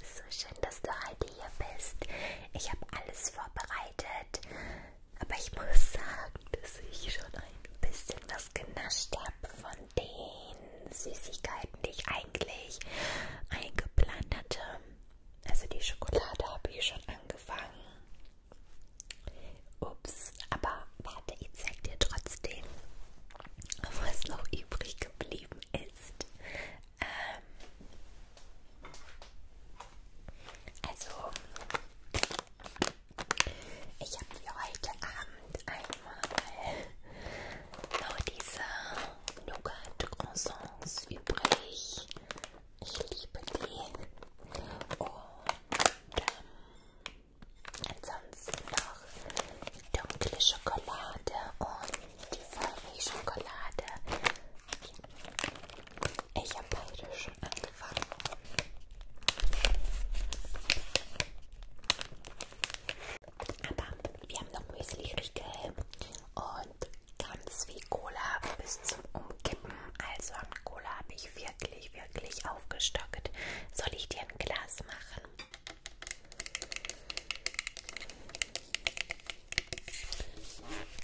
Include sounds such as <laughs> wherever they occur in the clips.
So schön, dass du heute hier bist. Ich habe alles vorbereitet, aber ich muss sagen, dass ich schon ein bisschen was genascht habe von den Süßigkeiten, die ich eigentlich eingeplant hatte. Also die Schokolade habe ich schon angefangen. Ups, aber warte, ich zeig dir trotzdem, was noch übrig geblieben ist. Ähm, also, ich habe für heute Abend einmal noch diese Nougat-Croissants übrig. Ich liebe die. Und ähm, ansonsten noch dunkle Schokolade und die Vollmilchschokolade. Ich habe beide schon angefangen. Aber wir haben noch Müsli-Riegel und ganz viel Cola bis zum Umkippen. Also an Cola habe ich wirklich, wirklich aufgestockt. Soll ich dir ein Glas machen?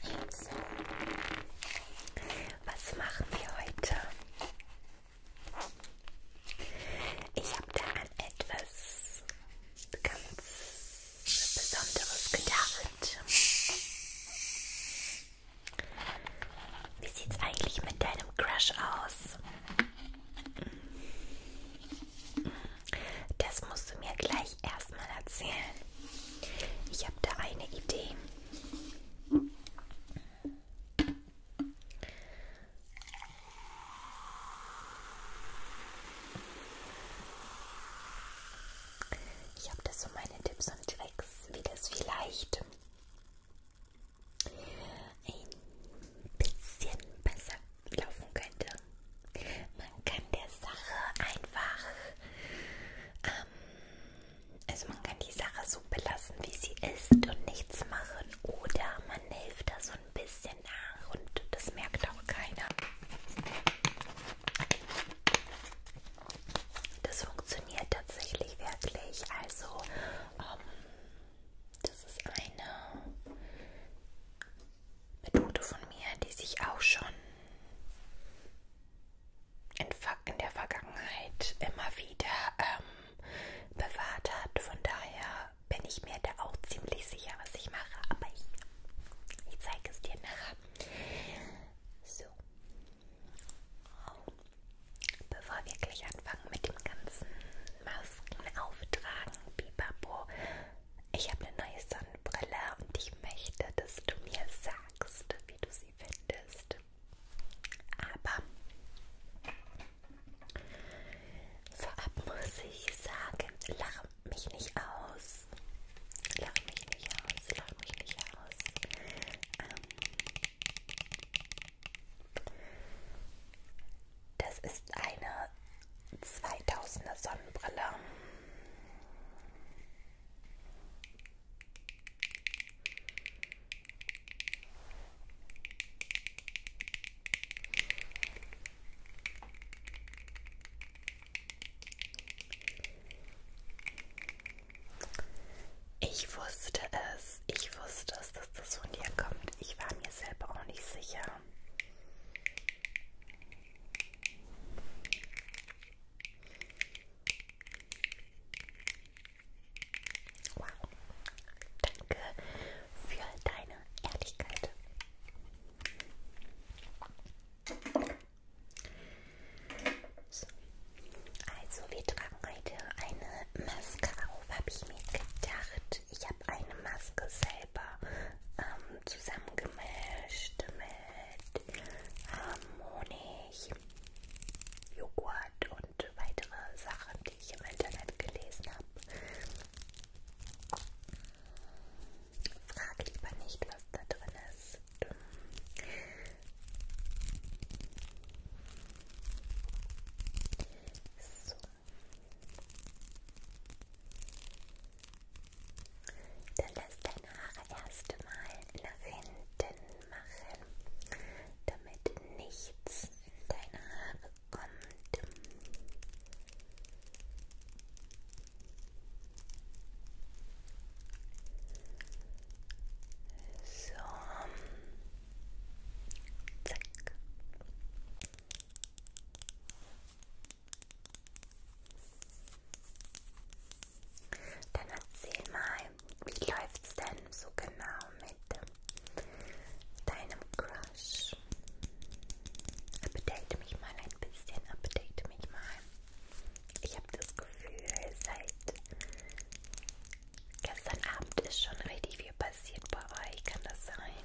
Also, was machen wir heute? Ich habe da an etwas ganz Besonderes gedacht. Wie sieht's eigentlich mit deinem Crush aus? Das musst du mir gleich erstmal erzählen. Ich habe da eine Idee. Ich habe da so meine Tipps und Tricks, wie das vielleicht ein bisschen besser laufen könnte. Man kann der Sache einfach, ähm, also man kann die Sache so belassen, wie sie ist und nichts machen oder man hilft da so ein bisschen nach und das merkt auch keiner. Das funktioniert tatsächlich wirklich, also ähm, das ist eine Methode von mir, die sich auch schon in, in der Vergangenheit immer wieder ähm, bewahrt hat. Von daher bin ich mir da auch ziemlich sicher, was ich mache. Aber ich, ich zeige es dir nachher. So. Bevor wir gleich anfangen mit dem ganzen Maskenauftragen, Bibabo, ich habe eine neue Sonnenbrille und ich möchte, dass du mir sagst, wie du sie findest. Aber vorab muss ich sagen, lache mich nicht aus. Lache mich nicht aus, lache mich nicht aus. Ähm, das ist eine 2000er Sonnenbrille. Ich wusste es, ich wusste es, dass das von dir kommt. Ich war mir selber auch nicht sicher. Wow. Danke für deine Ehrlichkeit. So. Also wir tragen heute eine Mascara auf, habe ich mir gedacht und ich habe eine Maske selber ähm, zusammengemischt mit ähm, Honig, Joghurt und weitere Sachen, die ich im Internet gelesen habe. Frag lieber nicht, was da drin ist. So. Dann lass deine Haare erstmal Lavenden machen, damit nichts in deine Haare kommt. So. Zack. Dann erzähl mal, wie läuft's denn so genau mit deinem Crush? Update mich mal ein bisschen, update mich mal. Ich habe das Gefühl, seit gestern Abend ist schon richtig viel passiert bei euch, kann das sein?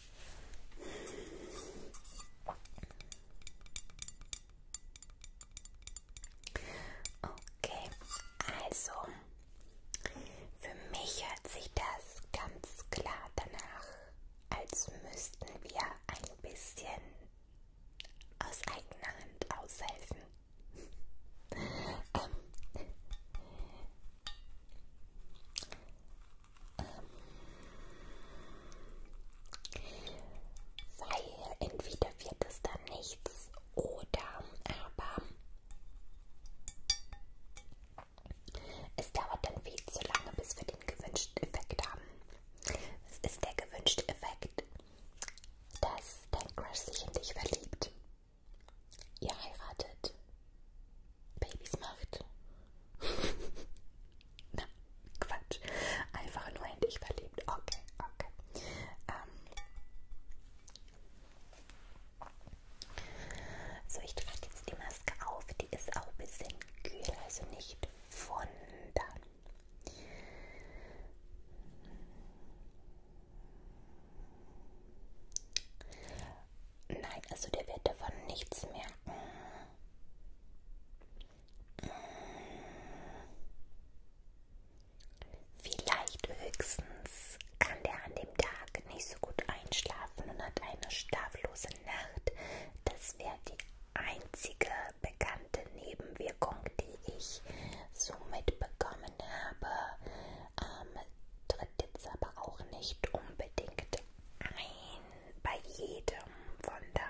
Okay, also für mich hört sich das ganz klar danach, als müssten wir ein bisschen aus eigener Hand aushelfen. ähm, weil entweder wird es dann nichts oder aber es dauert dann viel zu lange, bis wir den gewünschten Effekt haben. Es ist der gewünschte Effekt, dass dein Crush sich in dich verliebt, ihr heiratet, Babys macht <laughs> Na, Quatsch. Einfach nur in dich verliebt. Okay, okay. Ähm. So, ich trage jetzt die Maske auf. Die ist auch ein bisschen kühl, also nicht wundern. Nein, also der wird davon nichts merken. Vielleicht höchstens kann der an dem Tag nicht so gut einschlafen und hat eine schlaflose Nacht. Das wäre die einzige bekannte Nebenwirkung, die ich so mitbekommen habe. Ähm, tritt jetzt aber auch nicht unbedingt ein bei jedem. Von daher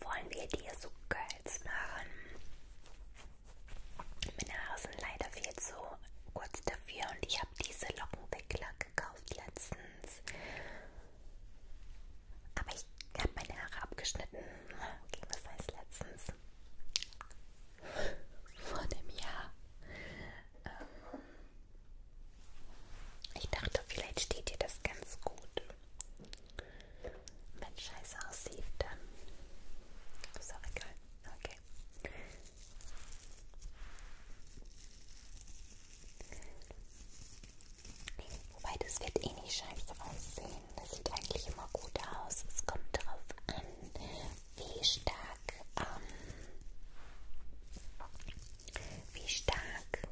wollen wir dir so Girls machen. Meine Haare sind leider viel zu kurz dafür und ich habe diese Lockenwickler gekauft letztens. Aber ich habe meine Haare abgeschnitten. Okay, was heißt letztens? Vor einem Jahr. Ähm ich dachte, vielleicht steht dir das ganz gut wenn scheiße aussieht, dann ist auch egal. Okay. Wobei, das wird eh nicht scheiße aussehen. Das sieht eigentlich immer gut aus. Es kommt darauf an, wie stark, ähm, wie stark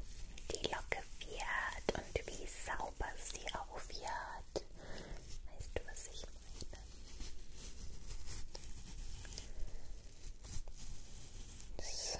die Locke wird und wie sauber sie auch wird. Weißt du, was ich meine? So.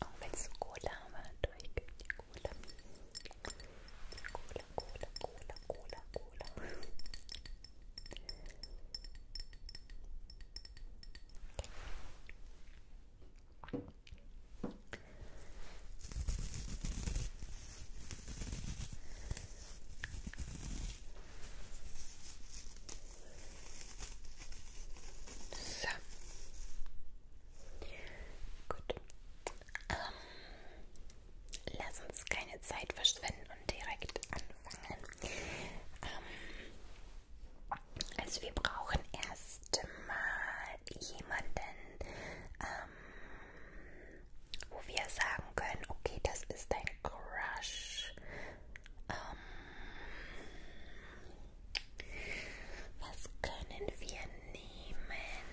Auch wenn es Cola war, durchgeht die Cola. Cola, Cola, Cola, Cola, Cola. Okay. So. Gut. Ähm, lass uns keine Zeit verschwenden und direkt anfangen. Ähm, also wir brauchen erstmal jemanden, ähm, wo wir sagen können, okay, das ist dein Crush ähm, was können wir nehmen?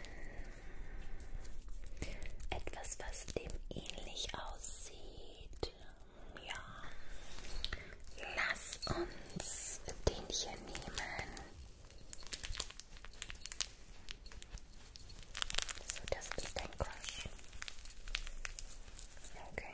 Etwas, was dem ähnlich aussieht. Ja. Lass uns den hier nehmen. So, das ist dein Crush. Okay.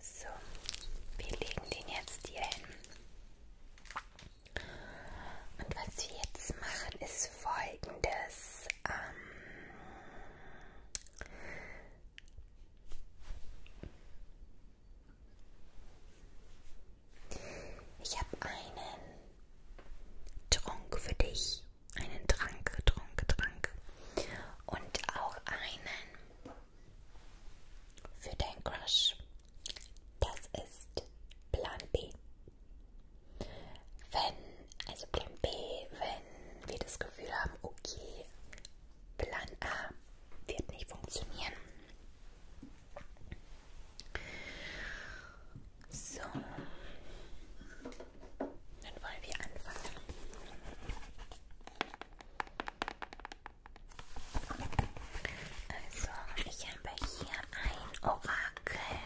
So, wir legen den jetzt hier hin. Und was wir jetzt machen, ist folgendes. Ähm ich habe einen Trunk für dich. Einen Trank, Trunk, Trank. Und auch einen für deinen Crush. Das ist Plan B. Wenn, also Plan B, wenn wir das Gefühl haben, okay, Plan A wird nicht funktionieren. So, dann wollen wir anfangen. Also, ich habe hier ein Orakel,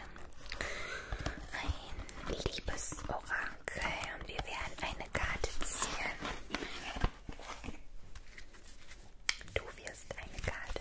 ein liebes Orakel und wir werden eine Karte ziehen. Du wirst eine Karte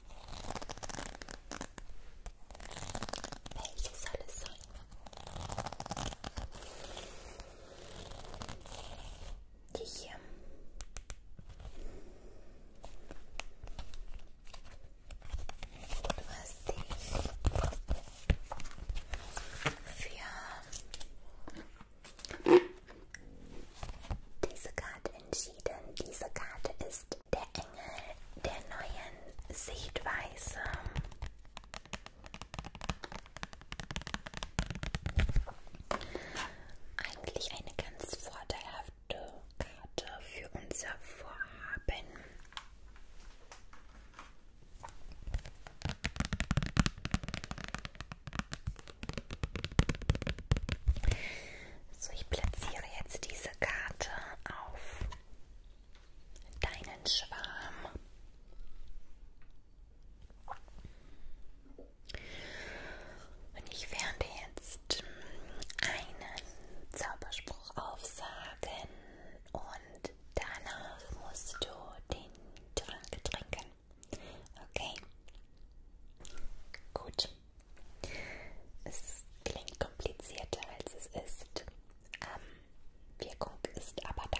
Welche soll es sein? Die hier. Du hast dich für diese Karte entschieden. Diese Karte ist ist der Engel der neuen Sichtweise. Eigentlich eine ganz vorteilhafte Karte für unser Vorhaben. So, ich platziere jetzt diese Karte auf deinen Schwarm. Und ich werde jetzt einen Zauberspruch aufsagen und danach musst du den Trank trinken. Okay? Gut. Es klingt komplizierter als es ist. Ähm, Wirkung ist aber da.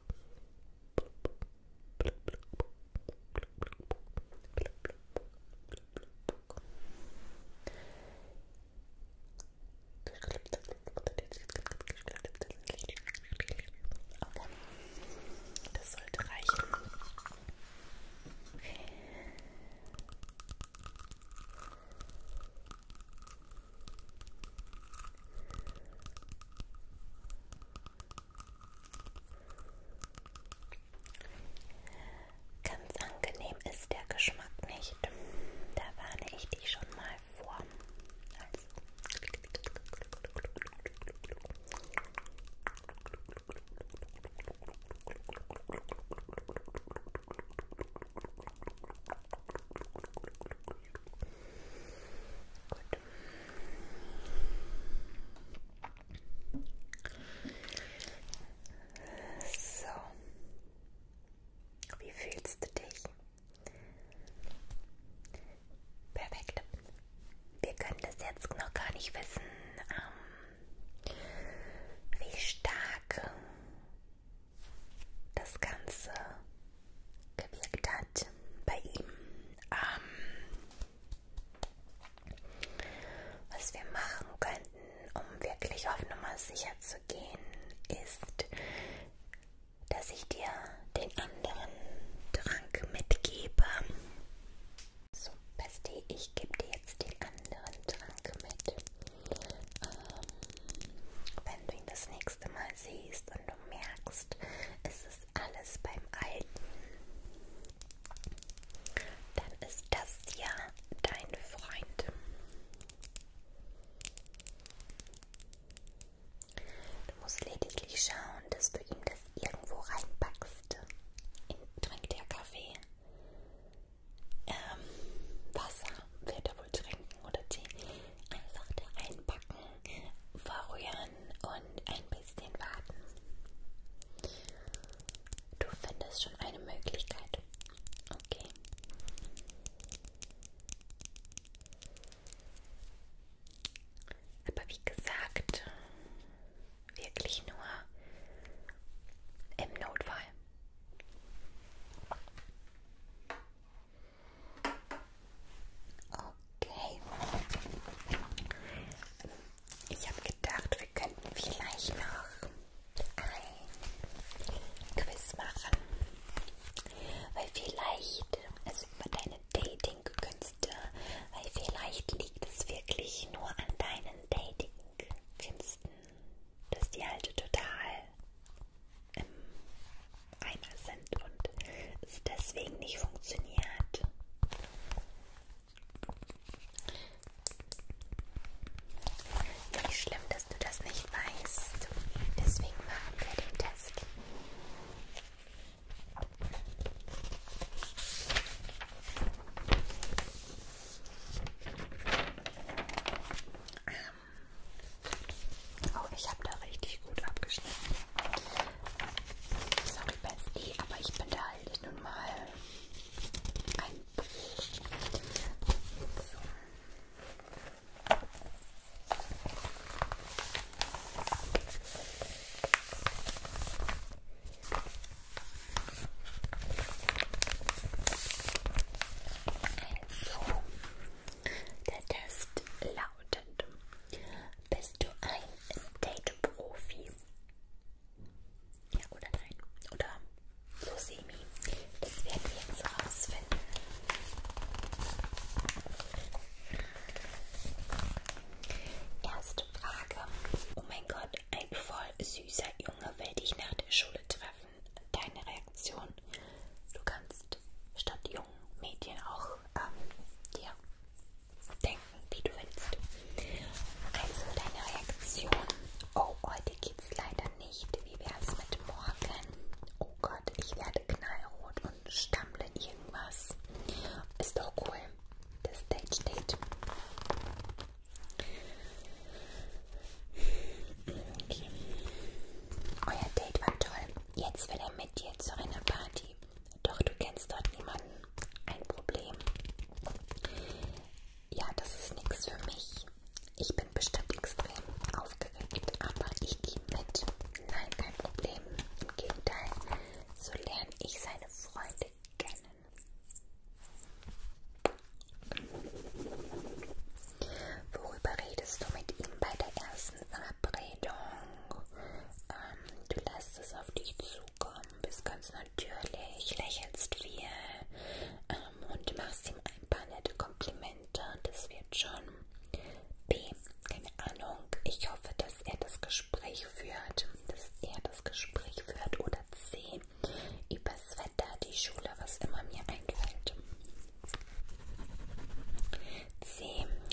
Okay. Das sollte reichen. Okay. Ganz angenehm ist der Geschmack nicht. Da warne ich dich schon mal vor. Also. So. Wie fühlst du dich? Perfekt. Wir können das jetzt noch gar nicht wissen, ähm, wie stark das Ganze gewirkt hat bei ihm. Ähm, was wir machen könnten, um wirklich auf Nummer sicher zu gehen, ist, dass ich dir den anderen Trank mitgebe. So, Basti, ich gebe dir jetzt den anderen Trank mit. Ähm, wenn du ihn das nächste erste Mal siehst und du merkst, es ist alles beim Alten, dann ist das ja dein Freund. Du musst lediglich schauen, dass du ihm das irgendwo reinpackst. In, trinkt er Kaffee? Ähm, Wasser wird er wohl trinken oder Tee? Einfach da einpacken, verrühren und ein bisschen warten. Du findest schon eine Möglichkeit. Okay. Aber wie gesagt, wirklich nur im Notfall. Okay. Ich habe gedacht, wir könnten vielleicht noch ein Quiz machen. Weil vielleicht, also über deine Dating-Künste, weil vielleicht liegt es wirklich nur an deinen Dating-Künsten, dass die halt total im ähm, Eimer sind und es deswegen nicht funktioniert. Nicht schlimm, dass du das nicht weißt. Deswegen machen wir den Test. Ah, Oh, ich habe da richtig gut abgeschnitten. Sorry, Betsy, aber ich bin da halt nun mal ein so. So. Der Test lautet: Bist du ein Date-Profi? Ja oder nein? Oder so semi? Das werden wir jetzt rausfinden. Erste Frage. Oh mein Gott, ein voll süßer Junge will dich nach der Schule treffen treffen, deine Reaktion. Du kannst statt jungen Mädchen auch ähm, dir denken, wie du willst. Also deine Reaktion. Oh, heute geht's leider nicht. Wie wär's mit morgen? Oh Gott, ich werde knallrot und stammle irgendwas. Ist doch cool. Das Stage Date. Okay. Euer Date war toll. Jetzt will er mit dir zu einer Party. Doch du kennst dort niemanden. Ein Problem. Ja, das ist nichts für mich. Ich bin bestimmt extrem aufgeregt, aber ich gehe mit. Nein, kein Problem. Im Gegenteil, so lerne ich seine Freunde kennen. Worüber redest du mit ihm bei der ersten Verabredung? Ähm, du lässt es auf dich zukommen, bist ganz natürlich, lächelst viel ähm, und machst ihm ein paar nette Komplimente. Das wird schon B. Keine Ahnung. Ich hoffe, dass er das Gespräch führt, dass er das Gespräch führt oder C. Übers Wetter, die Schule, was immer mir einfällt. C.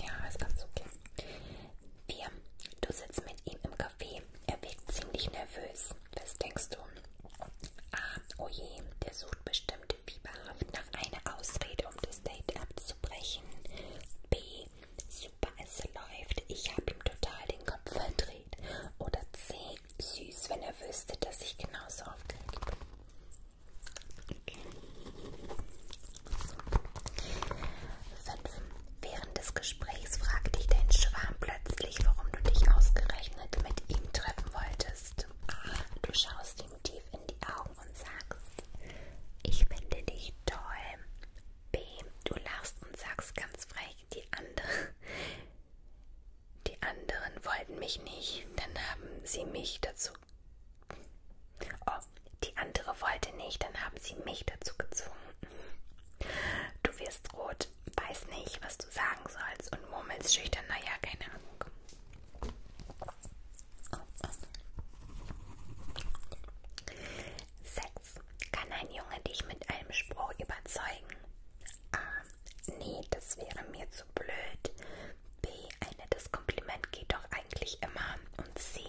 Ja, ist ganz okay. 4. Du sitzt mit ihm im Café. Er wirkt ziemlich nervös. Was denkst du? A. Oh je, der sucht bestimmt fieberhaft nach einer Ausrede, um das Date abzubrechen. B. Super, es läuft. Ich habe ihm total den Kopf verdreht. Oder C. Süß, wenn er wüsste, dass ich genauso aufgeregt bin. Fünf. Während des Gesprächs fragte ich deinen Schwarm plötzlich, warum du dich ausgerechnet mit ihm treffen wolltest. Du schaust ihm tief in die Augen und sagst, ich finde dich toll. B. Du lachst und sagst ganz frech, die andere. Die anderen wollten mich nicht, dann haben sie mich dazu dazu. Oh, die andere wollte nicht, dann haben sie mich dazu gezwungen. Du wirst rot, weiß nicht, was du sagen sollst und murmelst schüchtern, naja, keine Ahnung. Oh, oh. Sex. Kann ein Junge dich mit einem Spruch überzeugen? Ah, nee, das wäre mir zu blöd. B. Ein nettes Kompliment geht doch eigentlich immer. Und C.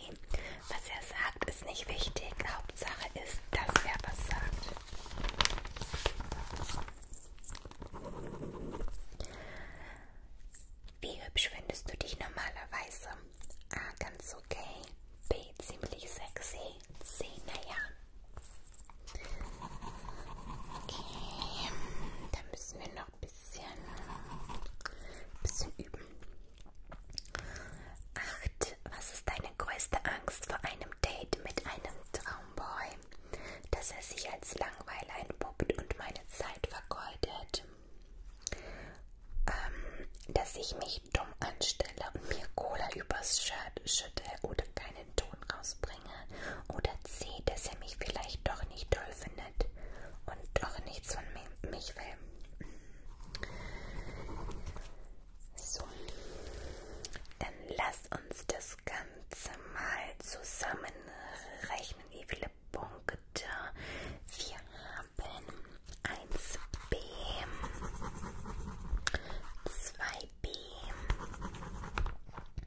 Was er sagt, ist nicht wichtig. Hauptsache ist, dass er was sagt. Wie hübsch findest du dich normalerweise? A. Ganz okay. B. Ziemlich sexy. C. Naja. Okay, dann müssen wir noch ein bisschen, ein bisschen üben. 8. Was ist deine größte Angst vor einem Date mit einem Traumboy? Dass er sich als Langweiler entpuppt und meine Zeit vergeudet. Ähm, dass ich mich dumm anstelle und mir Cola übers Shirt schütte oder keine einen Ton rausbringe. Oder C, dass er mich vielleicht doch nicht toll findet und doch nichts von mi mich will. So, dann lass uns das Ganze mal zusammenrechnen, wie viele Punkte wir haben. 1b, 2b,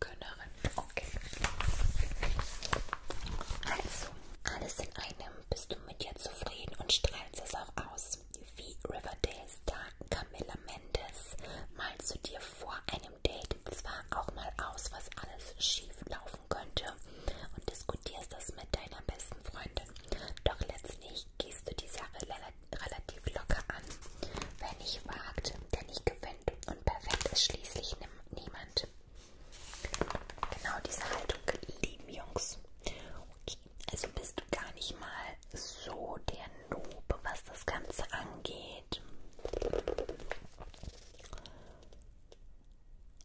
Könnerin. Okay. Also, alles in einem. Bist du mit dir zufrieden und strahlst es auch aus? Wie Riverdale Star Camilla Mendes malst du dir vor einem Date zwar auch mal aus, was alles schief laufen könnte und diskutierst das mit deiner besten Freundin, doch letztlich gehst du die Sache relativ locker an. Wer nicht wagt, der nicht gewinnt. Wind und perfekt ist schließlich niemand. Genau diese Haltung lieben Jungs. Okay, also bist du gar nicht mal so der Noob, was das Ganze angeht.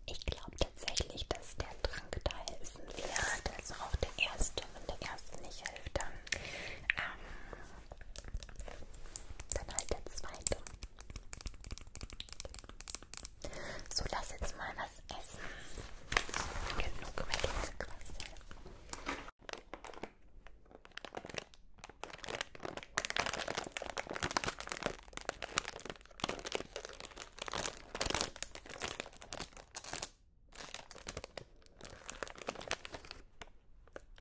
Ich glaube tatsächlich, dass der Trank da helfen wird. Also auch der erste. Wenn der erste nicht hilft, dann ähm, dann halt der zweite. So, lass jetzt mal was essen. Genug mit dieser Klasse.